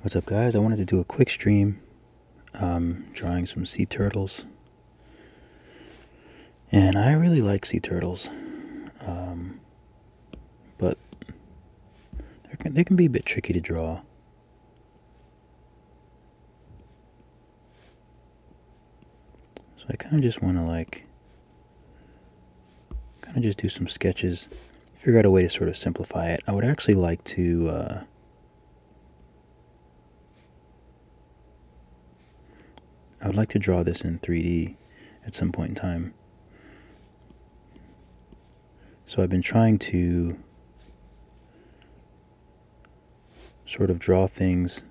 What's up guys? I wanted to do a quick stream um, drawing some sea turtles. And I really like sea turtles. Um, but they can be a bit tricky to draw. So I kind of just want to like kind of just do some sketches, figure out a way to sort of simplify it. I would actually like to uh, I would like to draw this in 3D at some point in time. So I've been trying to sort of draw things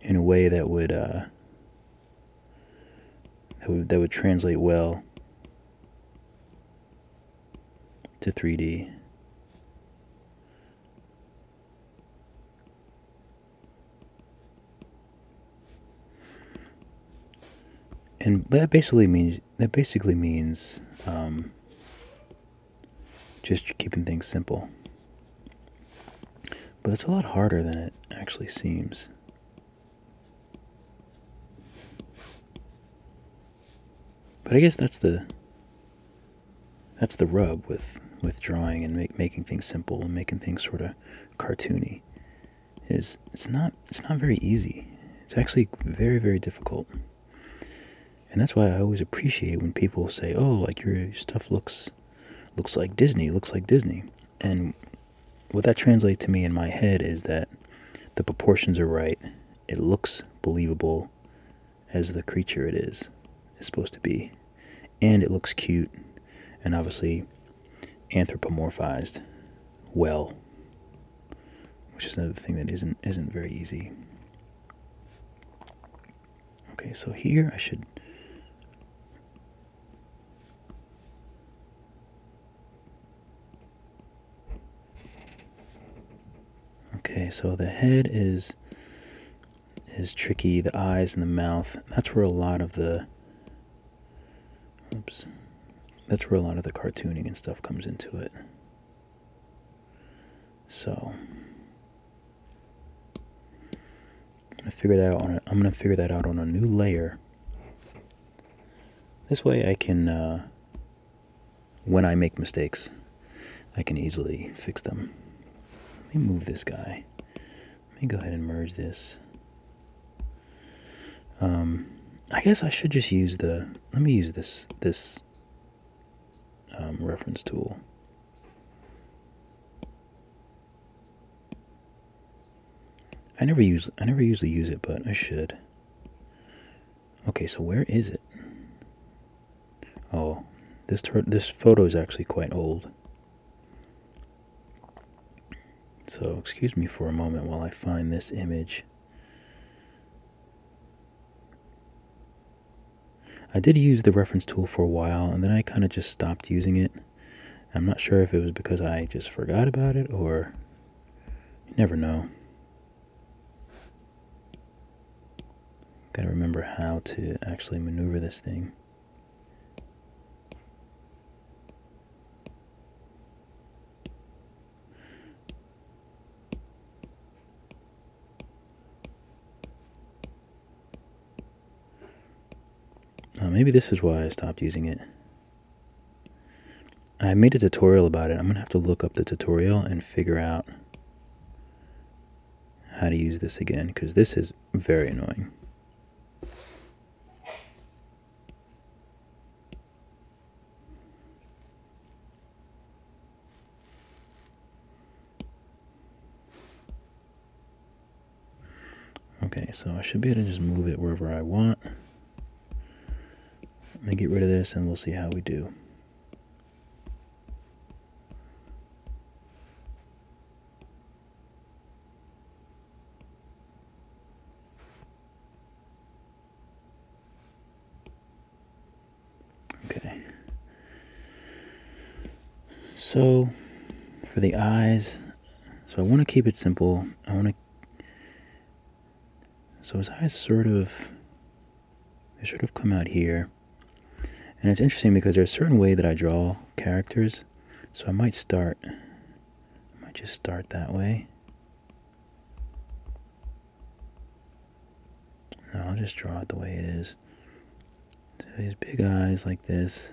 in a way that would uh, that would, that would translate well to 3D. And that basically means that basically means um, just keeping things simple. But it's a lot harder than it actually seems. But I guess that's the that's the rub with with drawing and make, making things simple and making things sort of cartoony is it's not it's not very easy. It's actually very very difficult. And that's why I always appreciate when people say, "Oh, like your stuff looks looks like Disney, looks like Disney." And what that translates to me in my head is that the proportions are right. It looks believable as the creature it is is supposed to be. And it looks cute and obviously anthropomorphized well. Which is another thing that isn't isn't very easy. Okay, so here I should Okay, so the head is is tricky, the eyes and the mouth. That's where a lot of the oops. That's where a lot of the cartooning and stuff comes into it. So I'm gonna figure that out on a, I'm gonna figure that out on a new layer. This way I can uh, when I make mistakes, I can easily fix them. Let me move this guy. Let me go ahead and merge this. Um, I guess I should just use the, let me use this, this um, reference tool. I never use I never usually use it, but I should. Okay, so where is it? Oh, this this photo is actually quite old. So excuse me for a moment while I find this image. I did use the reference tool for a while, and then I kind of just stopped using it. I'm not sure if it was because I just forgot about it or you never know. Gotta remember how to actually maneuver this thing. Uh, maybe this is why I stopped using it. I made a tutorial about it. I'm going to have to look up the tutorial and figure out how to use this again because this is very annoying. Okay, so I should be able to just move it wherever I want. Let me get rid of this and we'll see how we do. Okay. So, for the eyes, so I want to keep it simple. I want to. So his eyes sort of. They sort of come out here. And it's interesting because there's a certain way that I draw characters. So I might start. I might just start that way. I'll just draw it the way it is. So these big eyes like this.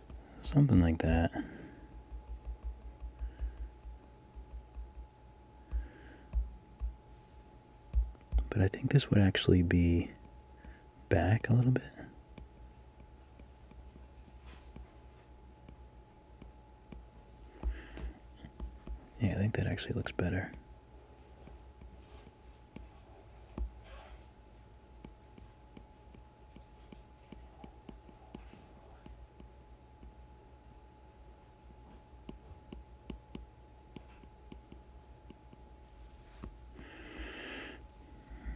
Something like that. But I think this would actually be back a little bit. Yeah, I think that actually looks better.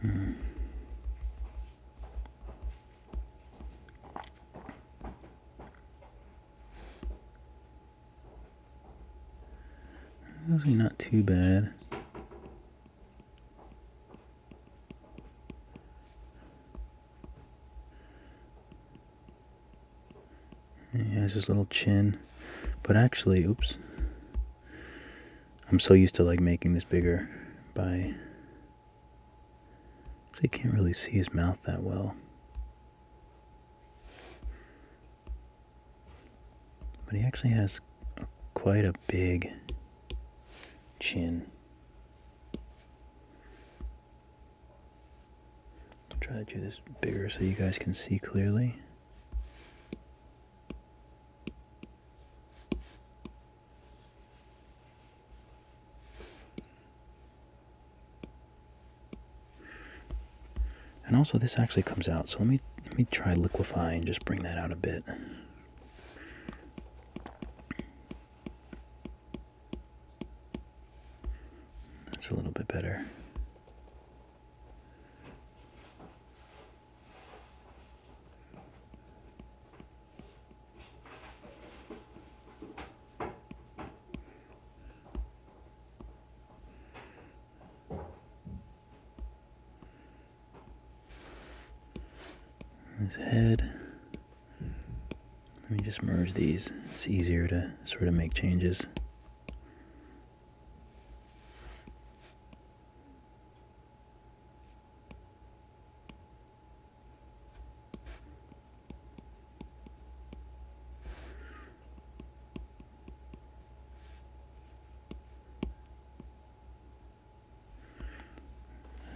Hmm. Usually not too bad. He has his little chin. But actually, oops. I'm so used to like making this bigger by so can't really see his mouth that well. But he actually has quite a big chin. I'll try to do this bigger so you guys can see clearly. And also this actually comes out, so let me let me try liquefy and just bring that out a bit. That's a little bit better. his head let me just merge these. It's easier to sort of make changes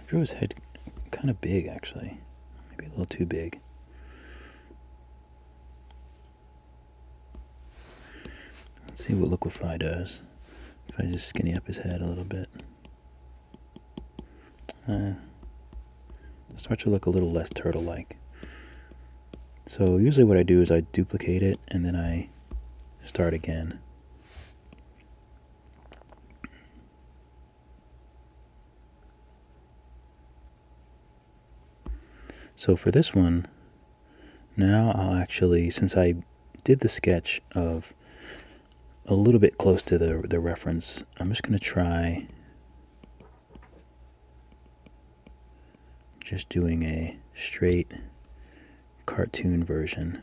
drew his head kind of big, actually. Maybe a little too big. Let's see what Liquify does. If I just skinny up his head a little bit. Uh, start to look a little less turtle-like. So usually what I do is I duplicate it and then I start again. So for this one, now I'll actually, since I did the sketch of a little bit close to the, the reference, I'm just going to try just doing a straight cartoon version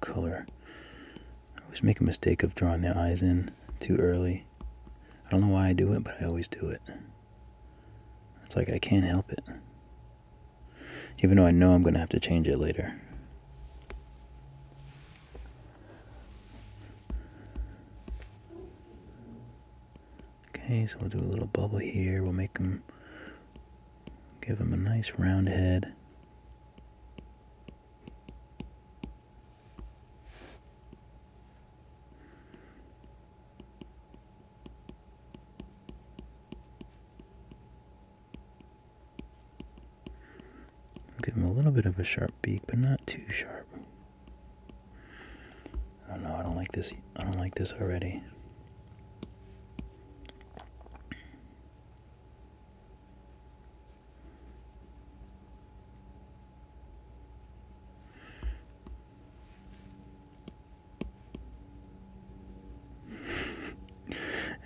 color. I always make a mistake of drawing the eyes in too early. I don't know why I do it, but I always do it. It's like I can't help it. Even though I know I'm going to have to change it later. Okay, so we'll do a little bubble here. We'll make them, give them a nice round head. Give him a little bit of a sharp beak, but not too sharp. I oh, don't know. I don't like this. I don't like this already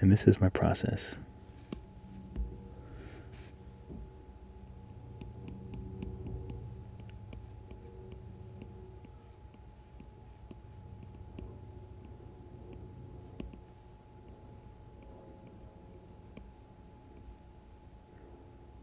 and this is my process.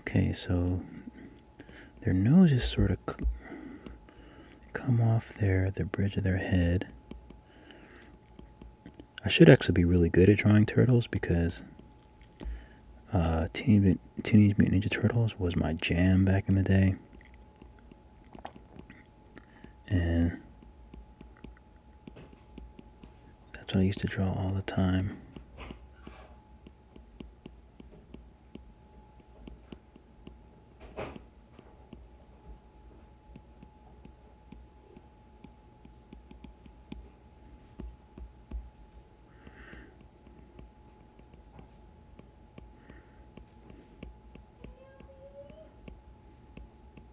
Okay, so their noses sort of come off their the bridge of their head. I should actually be really good at drawing turtles because uh, Teenage, Teenage Mutant Ninja Turtles was my jam back in the day. And that's what I used to draw all the time.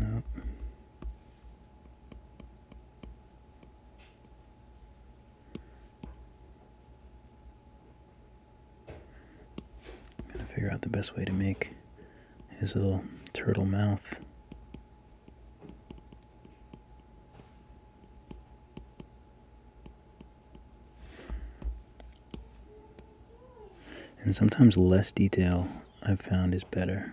I'm gonna figure out the best way to make his little turtle mouth. And sometimes less detail I've found is better.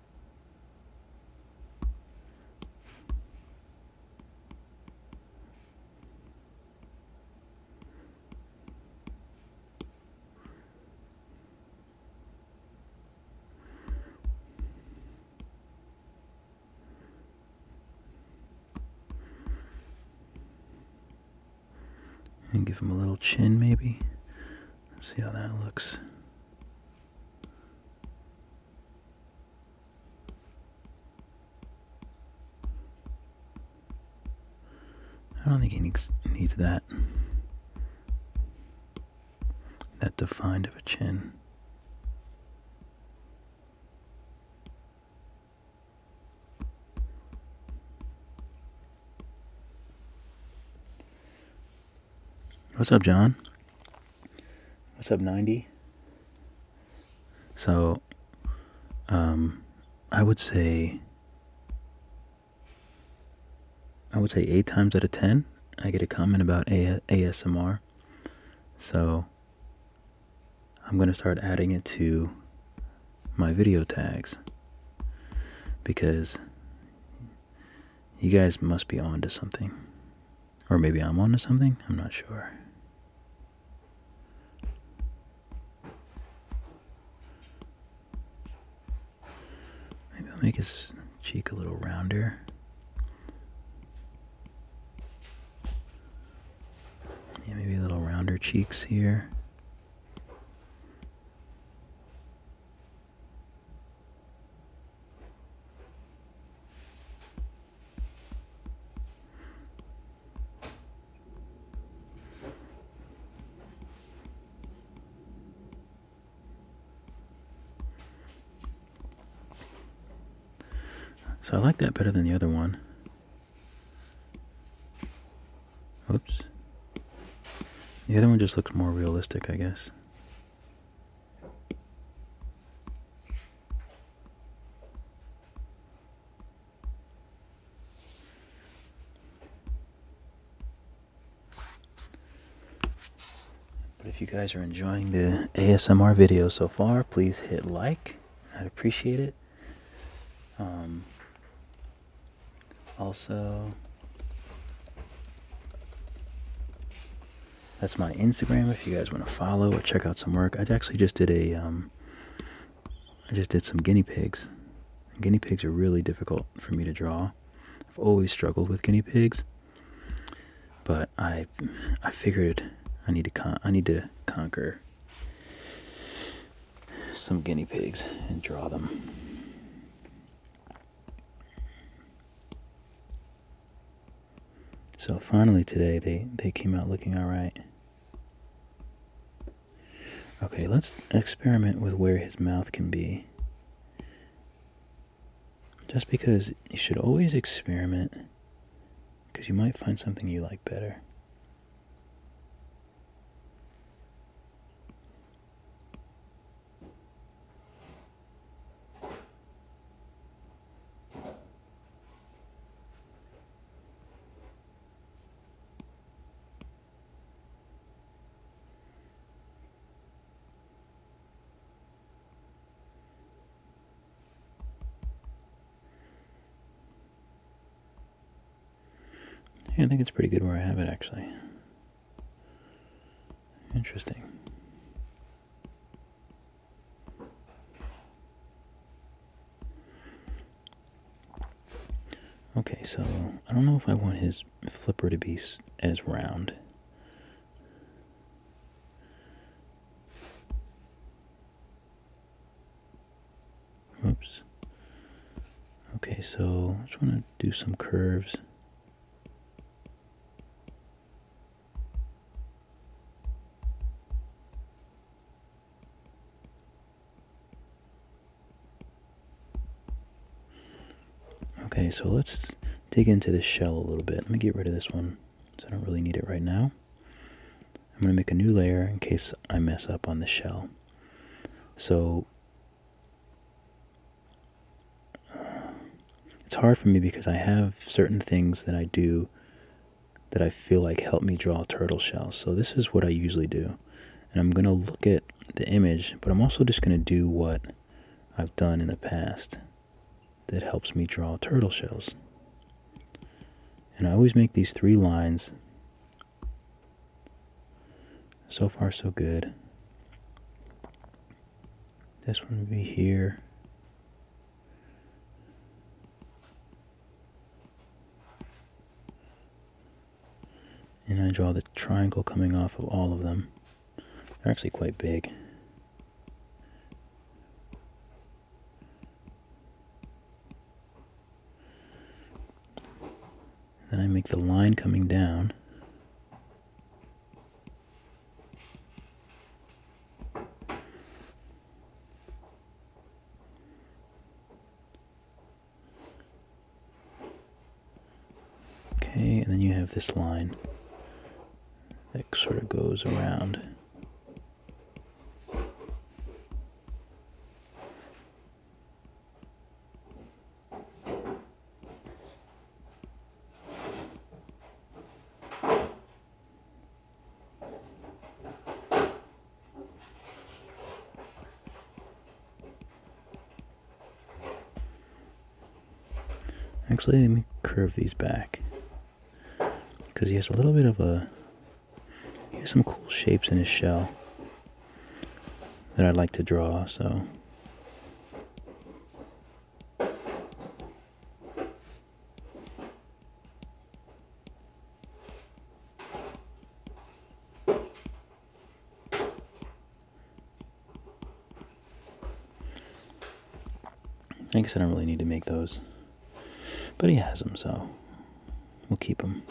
And give him a little chin, maybe. see how that looks. I don't think he needs, needs that. That defined of a chin. What's up, John? What's up, 90? So, um, I would say, I would say eight times out of ten, I get a comment about a ASMR. So, I'm going to start adding it to my video tags because you guys must be on to something. Or maybe I'm on to something? I'm not sure. Maybe I'll make his cheek a little rounder. Yeah, maybe a little rounder cheeks here. So I like that better than the other one. Oops. The other one just looks more realistic, I guess. But if you guys are enjoying the ASMR video so far, please hit like. I'd appreciate it. Um, also, that's my Instagram if you guys want to follow or check out some work. I actually just did a. Um, I just did some guinea pigs. guinea pigs are really difficult for me to draw. I've always struggled with guinea pigs, but I, I figured I need to con I need to conquer some guinea pigs and draw them. So finally today they, they came out looking alright. Okay, let's experiment with where his mouth can be. Just because you should always experiment, because you might find something you like better. I think it's pretty good where I have it actually. Interesting. Okay, so I don't know if I want his flipper to be as round. Oops. Okay, so I just want to do some curves. Okay, so let's dig into this shell a little bit. Let me get rid of this one, so I don't really need it right now. I'm going to make a new layer in case I mess up on the shell. So it's hard for me because I have certain things that I do that I feel like help me draw turtle shells. So this is what I usually do. And I'm going to look at the image, but I'm also just going to do what I've done in the past that helps me draw turtle shells. And I always make these three lines. So far, so good. This one would be here. And I draw the triangle coming off of all of them. They're actually quite big. Then I make the line coming down Okay, and then you have this line that sort of goes around. Actually, let me curve these back. Because he has a little bit of a... He has some cool shapes in his shell that I'd like to draw, so... I guess I don't really need to make those. But he has them, so we'll keep them.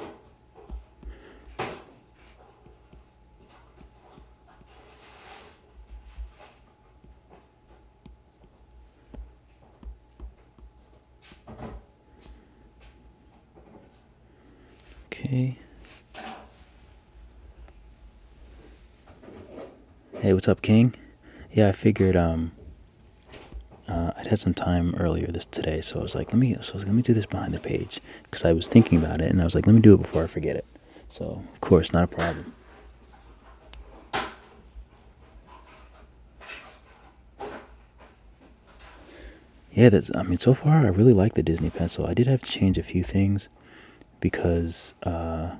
Okay. Hey, what's up, King? Yeah, I figured um uh, i had some time earlier this today, so I was like, let me so I was like, let me do this behind the page because I was thinking about it, and I was like, let me do it before I forget it. So, of course, not a problem. Yeah, that's, I mean, so far I really like the Disney Pencil. I did have to change a few things because uh,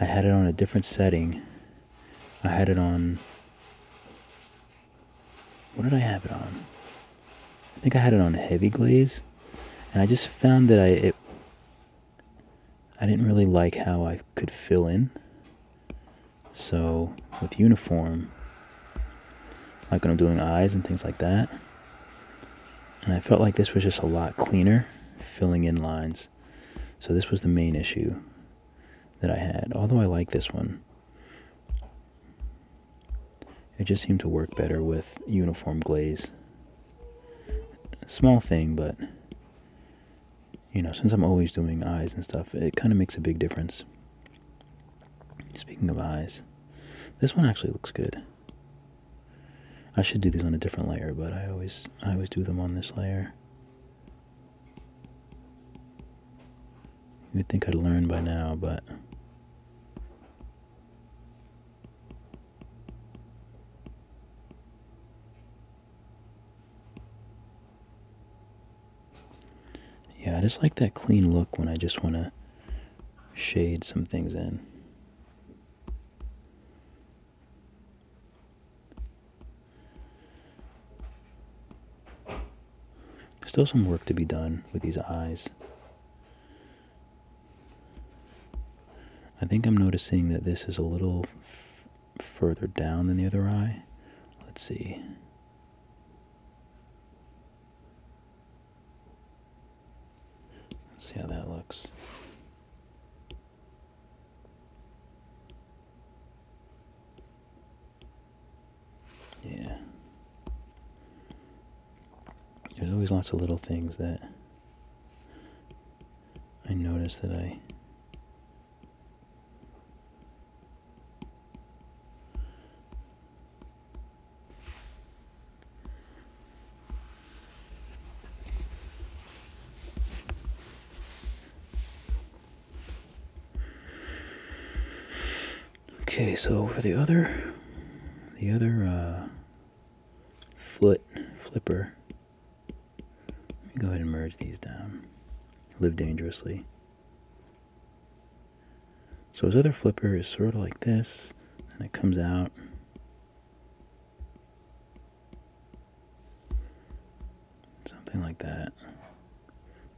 I had it on a different setting. I had it on, what did I have it on? I think I had it on heavy glaze. And I just found that I, it I didn't really like how I could fill in. So with uniform, like when I'm doing eyes and things like that, and I felt like this was just a lot cleaner filling in lines. So this was the main issue that I had, although I like this one. It just seemed to work better with uniform glaze small thing, but you know, since I'm always doing eyes and stuff, it kind of makes a big difference. Speaking of eyes, this one actually looks good. I should do these on a different layer, but I always I always do them on this layer. You'd think I'd learn by now, but yeah, I just like that clean look when I just want to shade some things in. Still some work to be done with these eyes. I think I'm noticing that this is a little further down than the other eye. Let's see. see how that looks. Yeah. There's always lots of little things that I notice that I Okay, so for the other, the other uh, foot flipper, let me go ahead and merge these down. Live dangerously. So his other flipper is sort of like this, and it comes out. Something like that.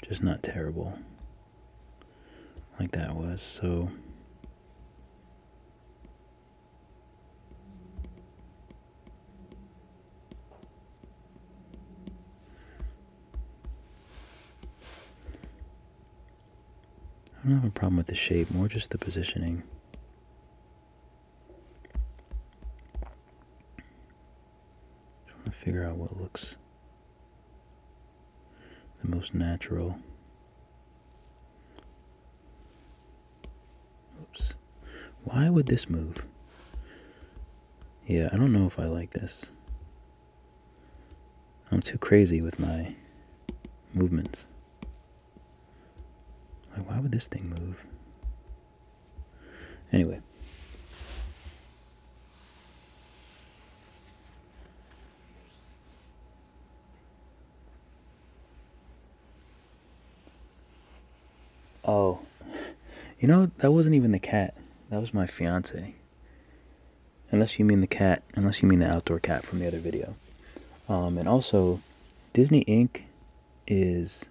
Just not terrible. Like that was, so I don't have a problem with the shape, more just the positioning. Trying to figure out what looks the most natural Oops. Why would this move? Yeah, I don't know if I like this. I'm too crazy with my movements. why would this thing move? Anyway. Oh, you know, that wasn't even the cat. That was my fiance. Unless you mean the cat, unless you mean the outdoor cat from the other video. Um, and also, Disney Inc. is.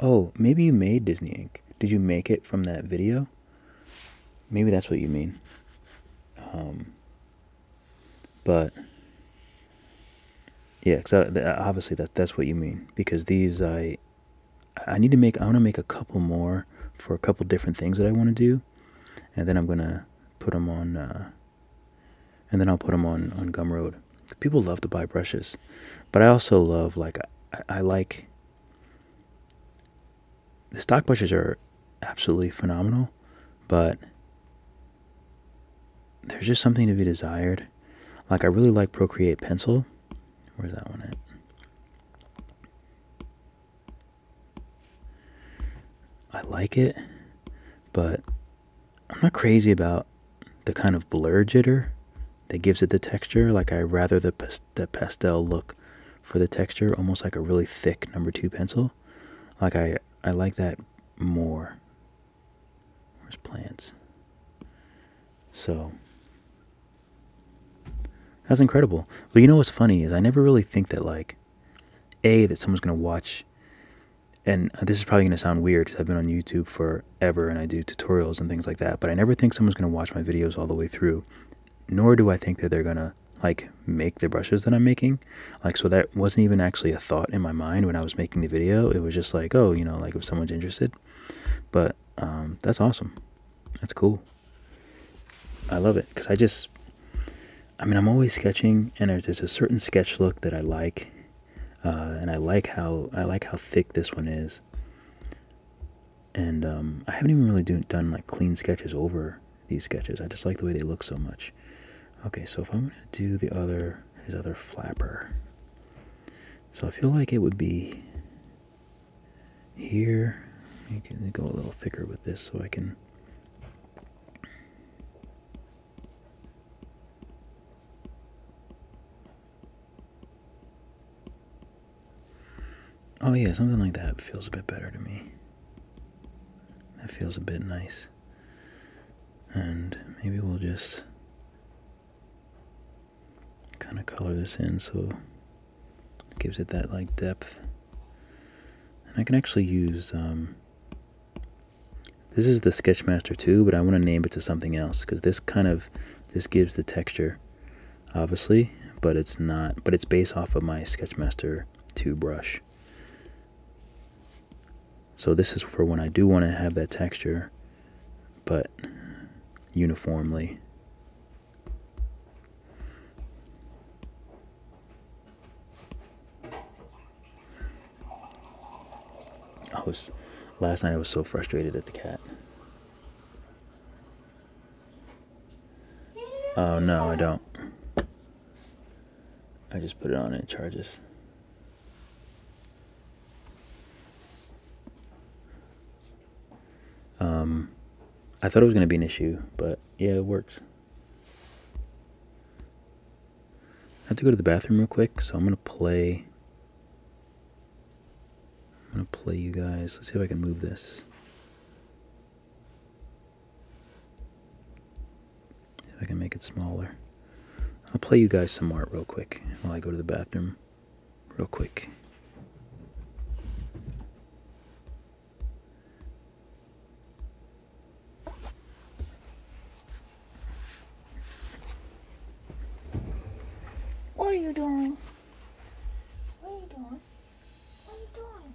Oh, maybe you made Disney Inc. Did you make it from that video? Maybe that's what you mean. Um, but yeah, because obviously that that's what you mean. Because these I I need to make I want to make a couple more for a couple different things that I want to do, and then I'm gonna put them on. Uh, and then I'll put them on on Gumroad. People love to buy brushes, but I also love like I, I like the stock brushes are absolutely phenomenal, but there's just something to be desired. Like I really like Procreate Pencil. Where's that one at? I like it, but I'm not crazy about the kind of blur jitter that gives it the texture. Like I rather the, the pastel look for the texture, almost like a really thick number two pencil. Like I, I like that more Where's plants? So that's incredible. But you know what's funny is I never really think that like a that someone's gonna watch. And this is probably gonna sound weird because I've been on YouTube forever and I do tutorials and things like that. But I never think someone's gonna watch my videos all the way through. Nor do I think that they're gonna like make the brushes that I'm making. Like so that wasn't even actually a thought in my mind when I was making the video. It was just like, oh, you know, like if someone's interested. But um, that's awesome. That's cool. I love it because I just, I mean, I'm always sketching, and there's, a certain sketch look that I like, uh, and I like how I like how thick this one is. And um, I haven't even really do, done like clean sketches over these sketches. I just like the way they look so much. Okay, so if I'm gonna do the other his other flapper. So I feel like it would be here. I can go a little thicker with this so I can. Oh, yeah, something like that feels a bit better to me. That feels a bit nice. And maybe we'll just kind of color this in so it gives it that like depth. And I can actually use, um, this is the Sketchmaster 2, but I want to name it to something else because this kind of, this gives the texture, obviously, but it's not, but it's based off of my Sketchmaster 2 brush. So this is for when I do want to have that texture, but uniformly. I was, last night I was so frustrated at the cat. Oh no, I don't. I just put it on and it charges. Um, I thought it was going to be an issue, but yeah, it works. I have to go to the bathroom real quick, so I'm going to play. I'm going to play you guys. Let's see if I can move this. If I can make it smaller. I'll play you guys some art real quick while I go to the bathroom. Real quick. What are you doing? What are you doing? What are you doing?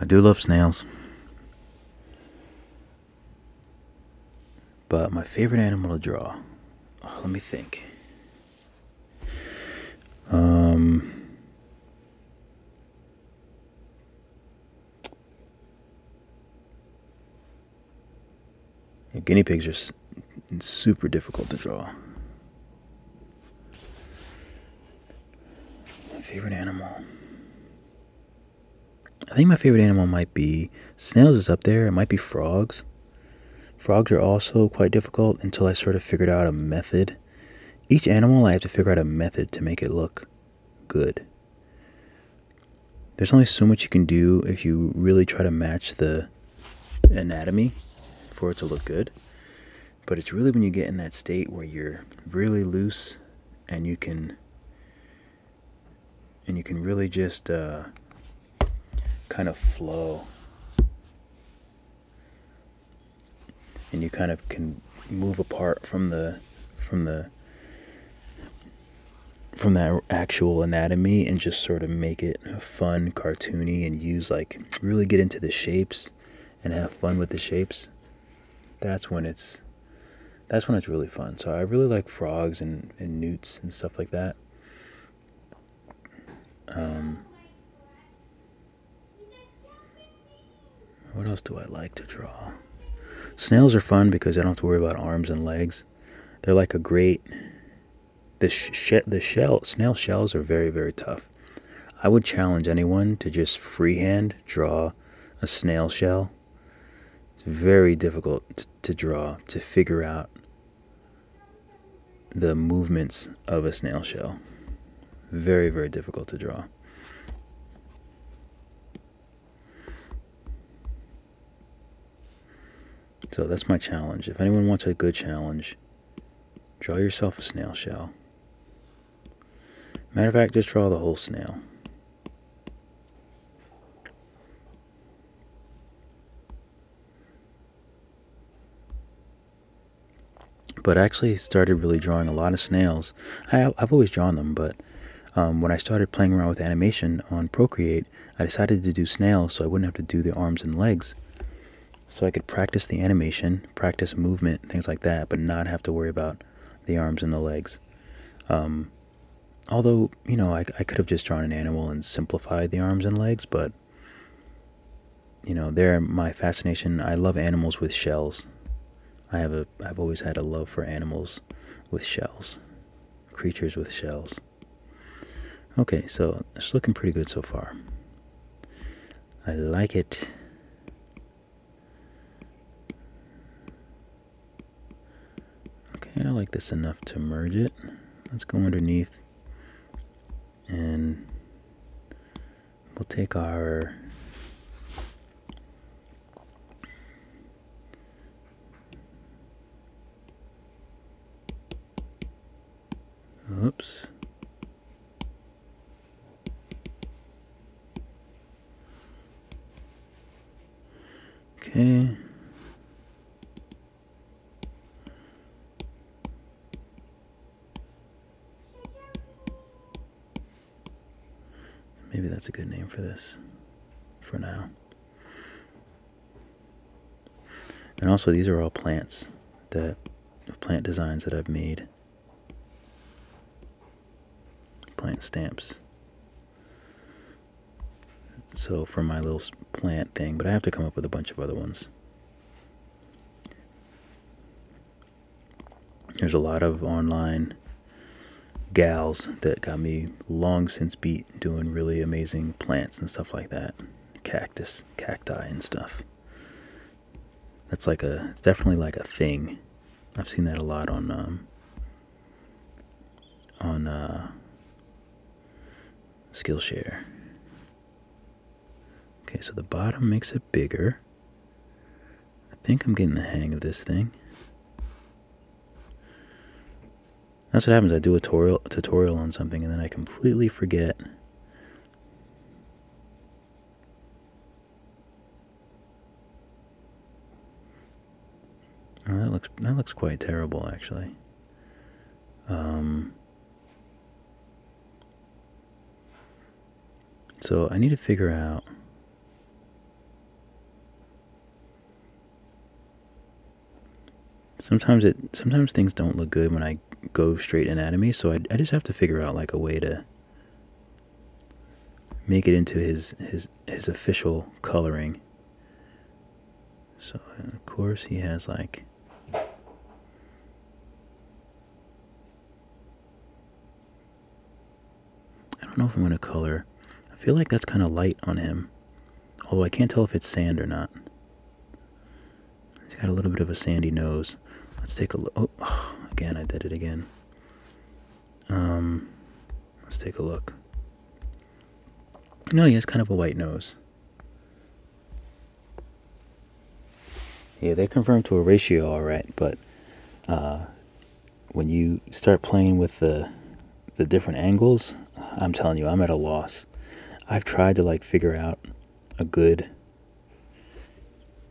I do love snails. But my favorite animal to draw, oh, let me think. Um, guinea pigs are super difficult to draw. My favorite animal. I think my favorite animal might be snails is up there. It might be frogs. Frogs are also quite difficult until I sort of figured out a method. Each animal I have to figure out a method to make it look good. There's only so much you can do if you really try to match the anatomy for it to look good. But it's really when you get in that state where you're really loose and you can and you can really just uh, kind of flow. And you kind of can move apart from the from the from that actual anatomy and just sort of make it fun, cartoony, and use like really get into the shapes and have fun with the shapes, that's when it's that's when it's really fun. So I really like frogs and, and newts and stuff like that. Um, what else do I like to draw? Snails are fun because I don't have to worry about arms and legs. They're like a great the, she- the shell snail shells are very very tough. I would challenge anyone to just freehand draw a snail shell. It's very difficult to draw to figure out the movements of a snail shell. Very very difficult to draw. So that's my challenge. If anyone wants a good challenge, draw yourself a snail shell. Matter of fact, just draw the whole snail. But I actually started really drawing a lot of snails. I, have always drawn them, but um, when I started playing around with animation on Procreate, I decided to do snails so I wouldn't have to do the arms and legs. So I could practice the animation, practice movement, things like that, but not have to worry about the arms and the legs. Um, although, you know, I, I could have just drawn an animal and simplified the arms and legs, but, you know, there my fascination. I love animals with shells. I have a, I've always had a love for animals with shells, creatures with shells. Okay, so it's looking pretty good so far. I like it. Okay, I like this enough to merge it. Let's go underneath and we'll take our Oops. Okay. Maybe that's a good name for this for now. And also, these are all plants that plant designs that I've made. Plant stamps. So for my little plant thing, but I have to come up with a bunch of other ones. There's a lot of online gals that got me long since beat doing really amazing plants and stuff like that. Cactus, cacti and stuff that's like a it's definitely like a thing i've seen that a lot on um on uh skillshare okay so the bottom makes it bigger i think i'm getting the hang of this thing that's what happens i do a tutorial tutorial on something and then i completely forget Oh, that looks that looks quite terrible actually. Um So I need to figure out Sometimes it sometimes things don't look good when I go straight anatomy, so I, I just have to figure out like a way to make it into his his his official coloring. So of course he has like I don't know if I'm gonna color. I feel like that's kind of light on him. Although I can't tell if it's sand or not. He's got a little bit of a sandy nose. Let's take a look. Oh, again, I did it again. Um, let's take a look. No, he has kind of a white nose. Yeah, they confirm to a ratio, all right, but uh, when you start playing with the the different angles, I'm telling you, I'm at a loss. I've tried to like figure out a good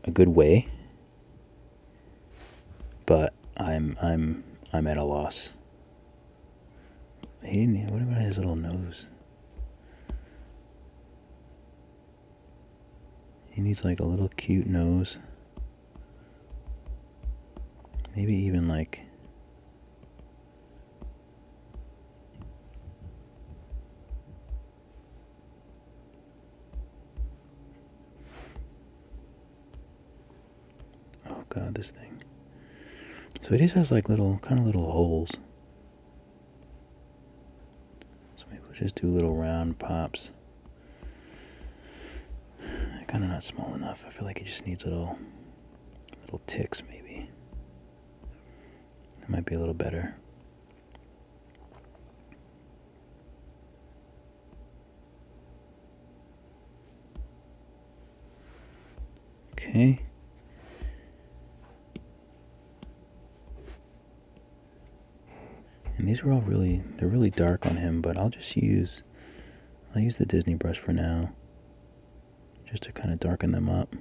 a good way, but I'm I'm I'm at a loss. He, what about his little nose? He needs like a little cute nose. Maybe even like Oh god, this thing. So it just has like little, kind of little holes. So maybe we'll just do little round pops. kind of not small enough. I feel like it just needs little, little ticks maybe. It might be a little better. Okay. And these are all really, they're really dark on him, but I'll just use, I'll use the Disney brush for now, just to kind of darken them up.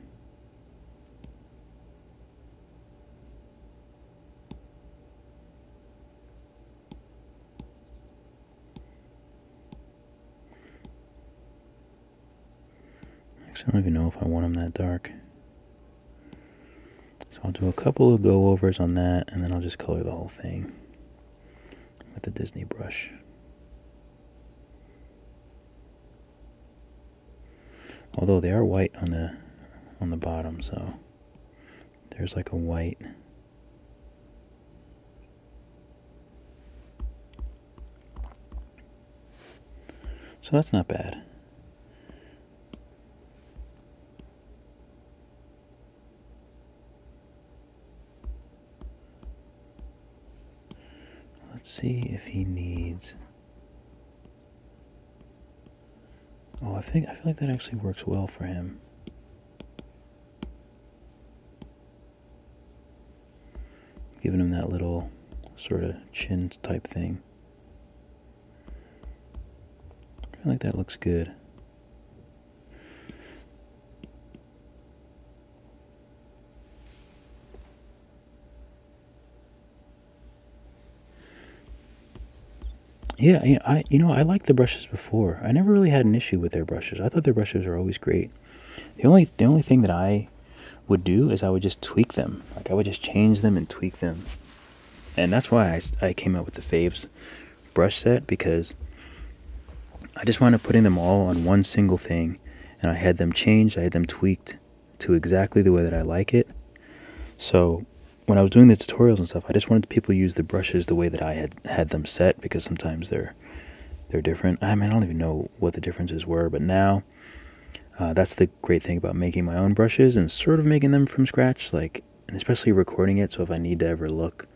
Actually, I don't even know if I want them that dark. So I'll do a couple of go-overs on that, and then I'll just color the whole thing with the Disney brush. Although they are white on the on the bottom, so there's like a white So that's not bad. Let's see if he needs Oh, I think I feel like that actually works well for him. Giving him that little sort of chin type thing. I feel like that looks good. Yeah, you I you know I liked the brushes before. I never really had an issue with their brushes. I thought their brushes were always great. The only the only thing that I would do is I would just tweak them. Like I would just change them and tweak them. And that's why I, I came up with the Faves brush set because I just wound up putting them all on one single thing and I had them changed, I had them tweaked, to exactly the way that I like it. So when I was doing the tutorials and stuff, I just wanted people to use the brushes the way that I had had them set because sometimes they're they're different. I mean, I don't even know what the differences were, but now uh, that's the great thing about making my own brushes and sort of making them from scratch, like and especially recording it. So if I need to ever look,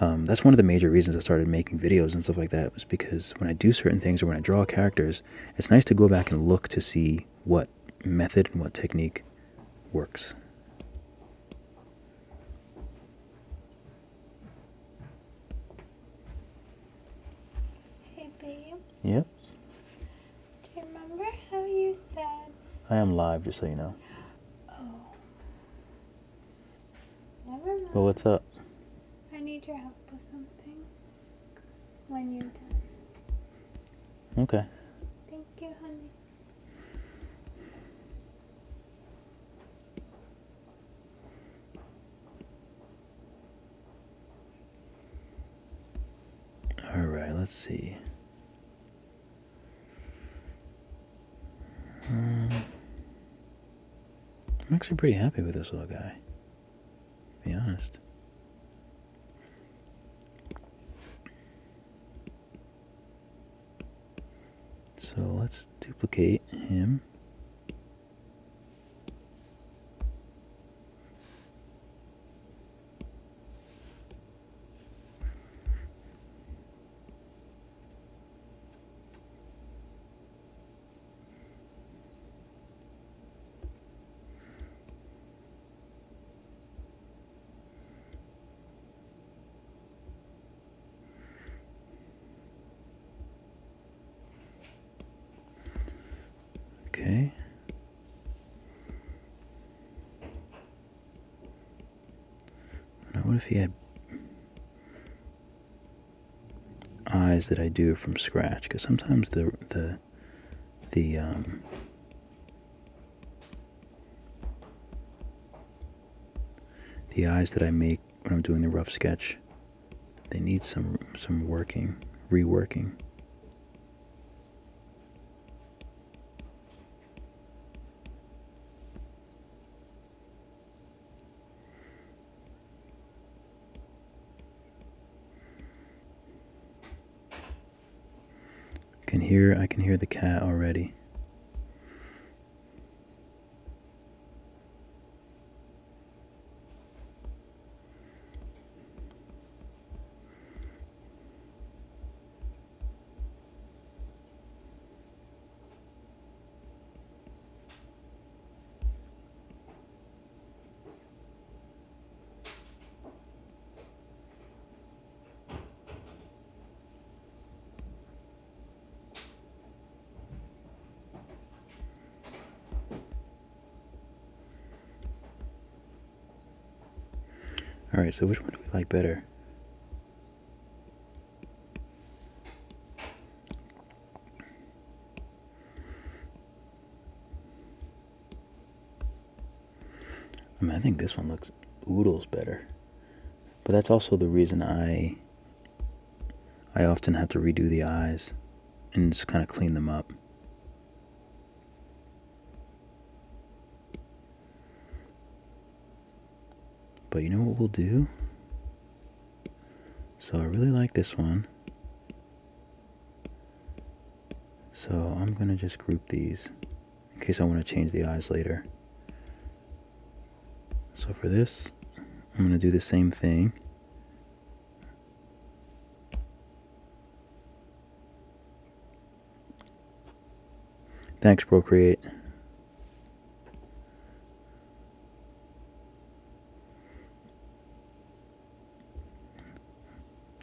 um, that's one of the major reasons I started making videos and stuff like that was because when I do certain things or when I draw characters, it's nice to go back and look to see what method and what technique works. Hey, babe. Yep. Do you remember how you said? I am live, just so you know. Oh. Never mind. Well, what's up? I need your help with something when you're done. Okay. Thank you, honey. All right, let's see. Um, I'm actually pretty happy with this little guy. Be honest. So let's duplicate him. Okay. Now, what if he had eyes that I do from scratch? Because sometimes the the the um, the eyes that I make when I'm doing the rough sketch. They need some some working, reworking. I can hear I can hear the cat already. All right, so which one do we like better? I think this one looks oodles better. But that's also the reason I I often have to redo the eyes and just kind of clean them up. But you know what we'll do? So I really like this one. So I'm going to just group these in case I want to change the eyes later. So for this, I'm going to do the same thing. Thanks, Procreate.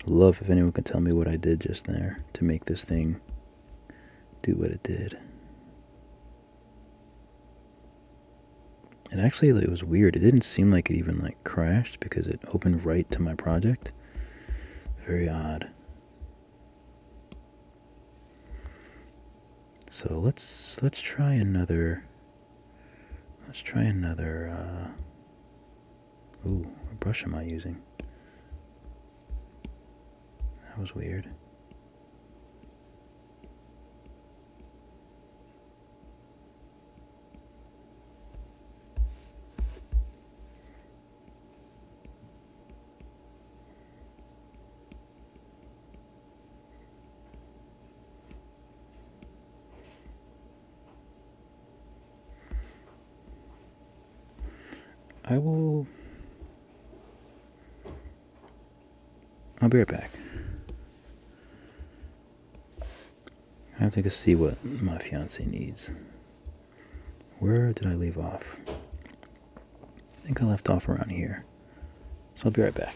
Love if anyone can tell me what I did just there to make this thing do what it did. And actually, it was weird. It didn't seem like it even like crashed because it opened right to my project. Very odd. So let's let's try another. Let's try another. Uh, Ooh, what brush am I using? That was weird. I will. I'll be right back. I have to go see what my fiance needs. Where did I leave off? I think I left off around here. So I'll be right back.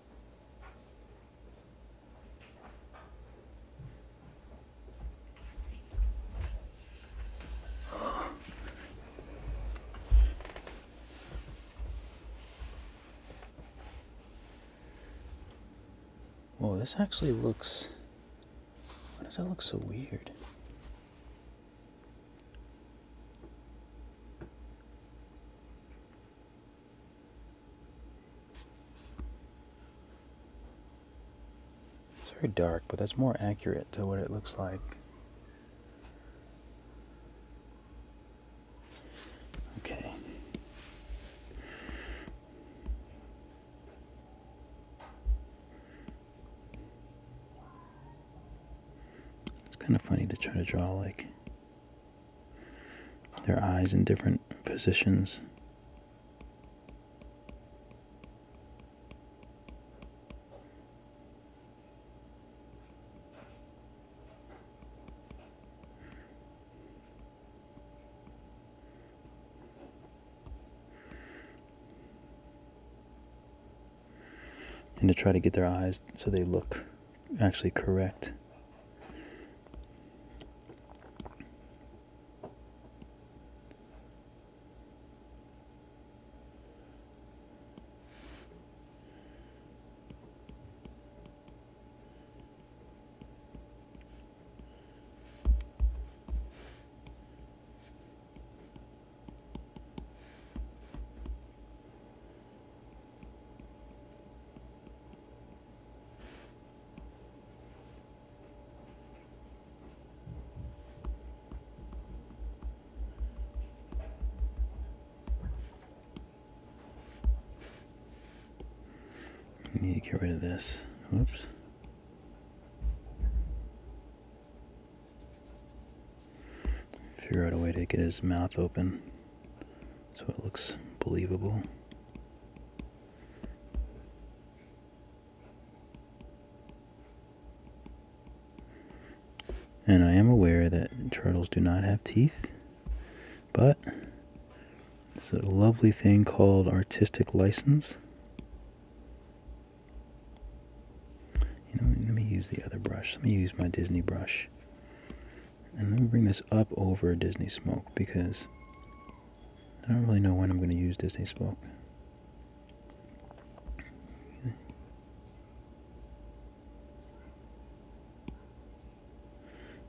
Whoa, this actually looks... Why does that look so weird? It's very dark, but that's more accurate to what it looks like. Okay. It's kind of funny to try to draw like their eyes in different positions. and to try to get their eyes so they look actually correct need to get rid of this. Oops. Figure out a way to get his mouth open so it looks believable. And I am aware that turtles do not have teeth, but it's a lovely thing called artistic license. You know, let me use the other brush. Let me use my Disney brush. And let me bring this up over Disney Smoke because I don't really know when I'm going to use Disney Smoke.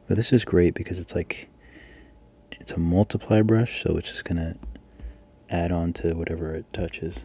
But this is great because it's like, it's a multiply brush, so it's just going to add on to whatever it touches.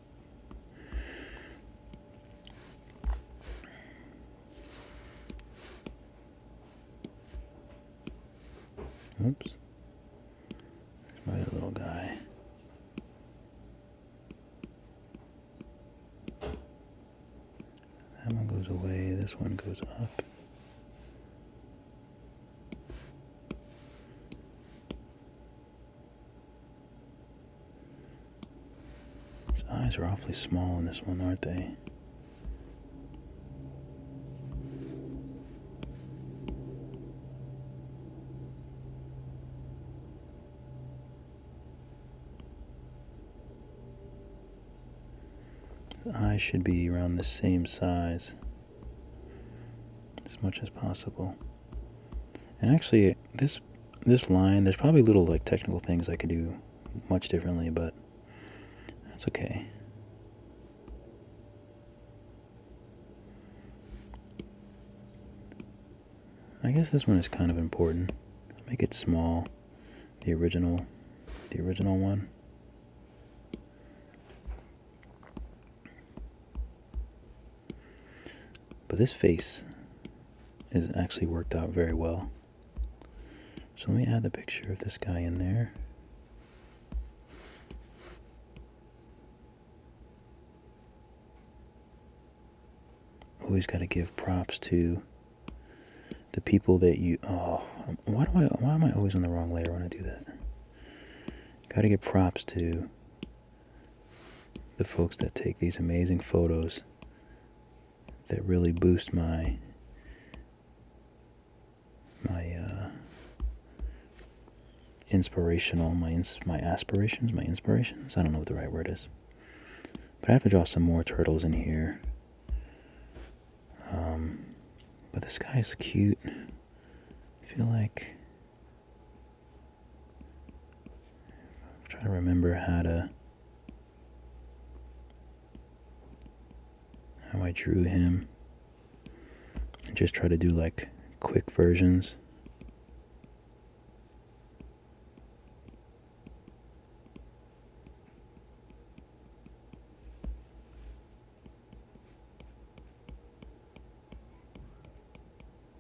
Oops. my little guy. That one goes away, this one goes up. His eyes are awfully small in this one, aren't they? The eyes should be around the same size as much as possible. And actually, this this line, there's probably little like technical things I could do much differently, but that's okay. I guess this one is kind of important. Make it small. The original, the original one. But this face is actually worked out very well. So let me add the picture of this guy in there. Always got to give props to the people that you. Oh, why do I? Why am I always on the wrong layer when I do that? Got to give props to the folks that take these amazing photos that really boost my my uh, inspirational my my aspirations my inspirations I don't know what the right word is but I have to draw some more turtles in here um, but this guy's cute I feel like I'm trying to remember how to how I drew him and just try to do like quick versions.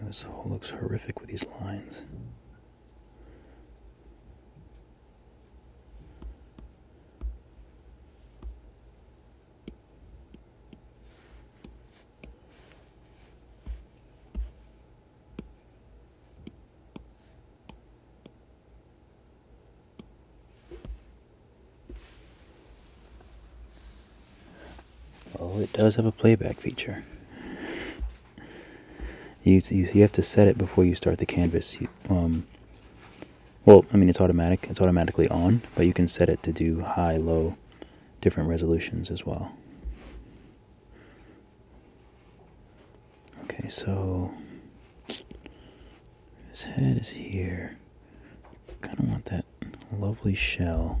This whole looks horrific with these lines. Oh, it does have a playback feature. You, you, have to set it before you start the canvas. Um, well, I mean, it's automatic. It's automatically on, but you can set it to do high, low, different resolutions as well. Okay, so his head is here. Kind of want that lovely shell.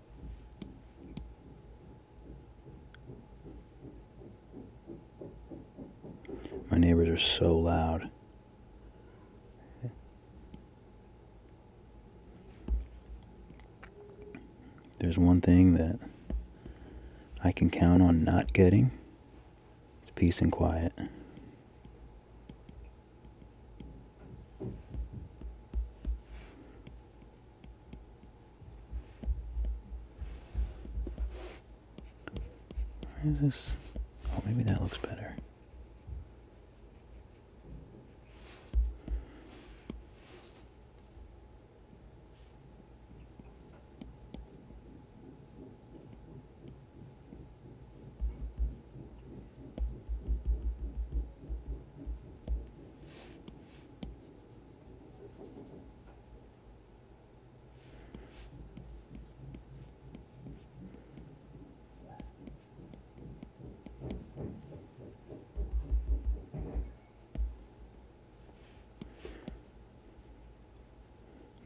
My neighbors are so loud. There's one thing that I can count on not getting. It's peace and quiet. Where is this? Oh, maybe that looks better.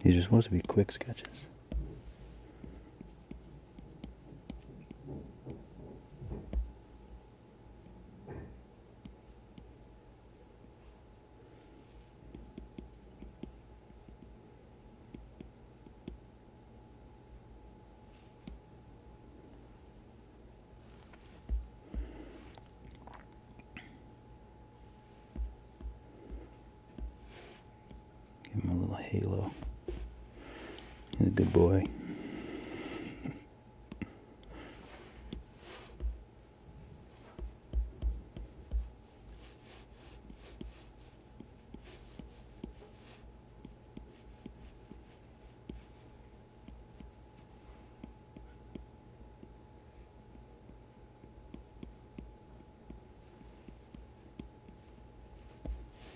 These are supposed to be quick sketches. Give him a little halo. He's a good boy.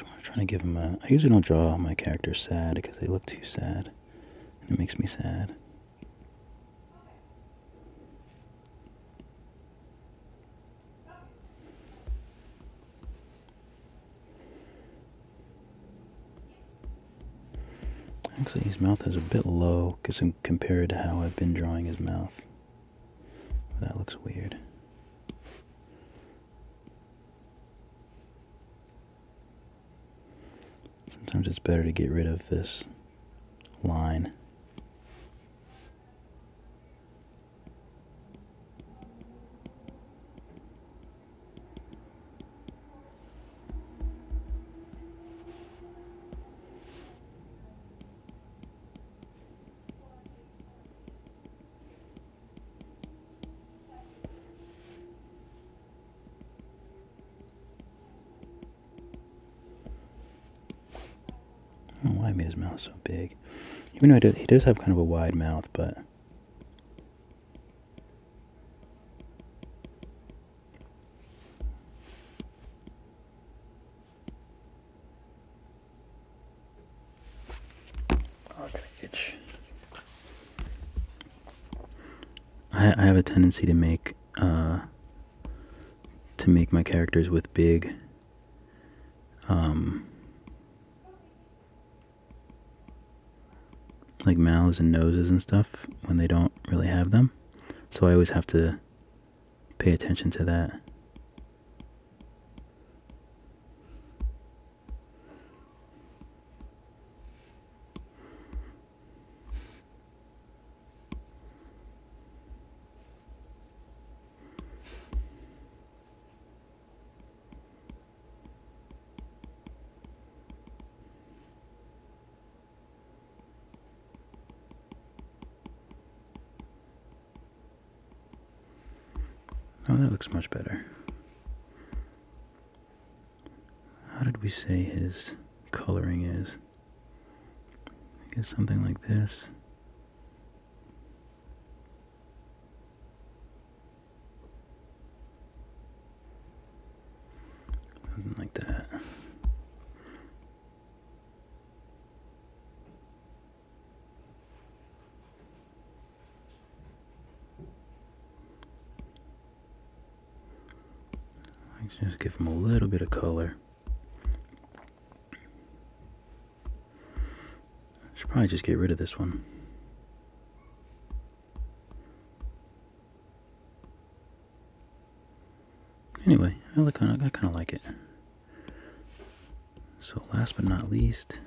i want to try to give him a. I usually don't draw my characters sad because they look too sad it makes me sad. Actually, his mouth is a bit low because compared to how I've been drawing his mouth. That looks weird. Sometimes it's better to get rid of this line why made his mouth so big. Even though he does, he does have kind of a wide mouth, but. I, have a tendency to make uh, to make my characters with big um, like mouths and noses and stuff when they don't really have them. So I always have to pay attention to that. Oh, that looks much better how did we say his coloring is? I guess something like this. Something like that. Let's just give them a little bit of color. I should probably just get rid of this one. Anyway, I look I kind of like it. So last but not least,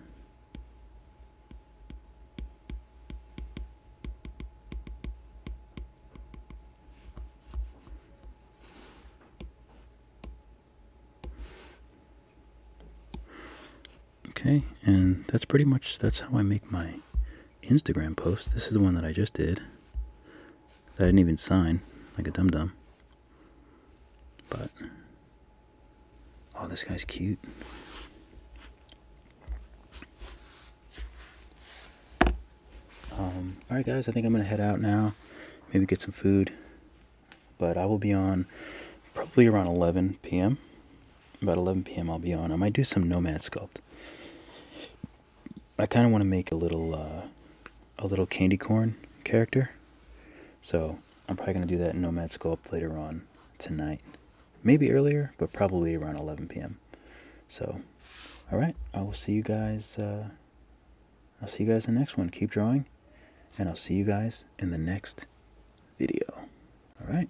Okay, and that's pretty much, that's how I make my Instagram post. This is the one that I just did. I didn't even sign, like a dum-dum. But, oh, this guy's cute. Um, Alright guys, I think I'm going to head out now. Maybe get some food. But I will be on probably around 11 p.m. About 11 p.m. I'll be on. I might do some Nomad Sculpt. I kind of want to make a little, uh, a little candy corn character. So I'm probably going to do that Nomad Sculpt later on tonight maybe earlier, but probably around 11 p.m. So, all right, I will see you guys. Uh, I'll see you guys in the next one. Keep drawing, and I'll see you guys in the next video. All right.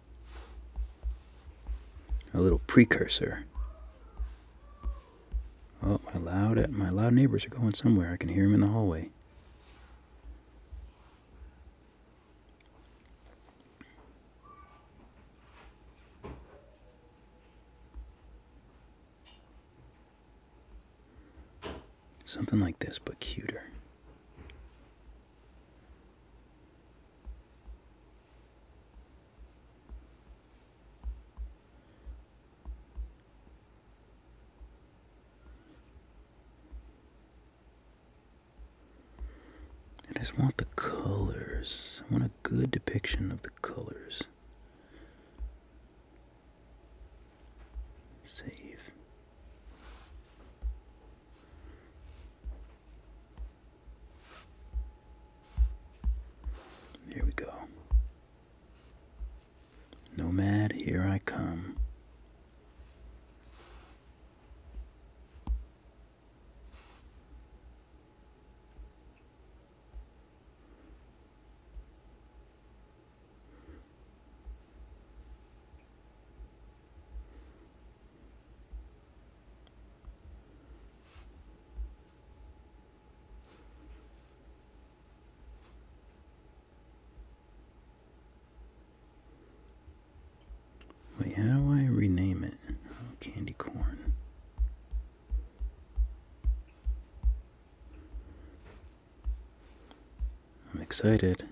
A little precursor. Oh, my loud my loud neighbors are going somewhere. I can hear them in the hallway. Something like this, but cuter. I just want the colors. I want a good depiction of the colors. Save. Here we go. Nomad, here I come. Wait, how do I rename it? Oh, candy corn. I'm excited.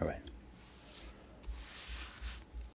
All right.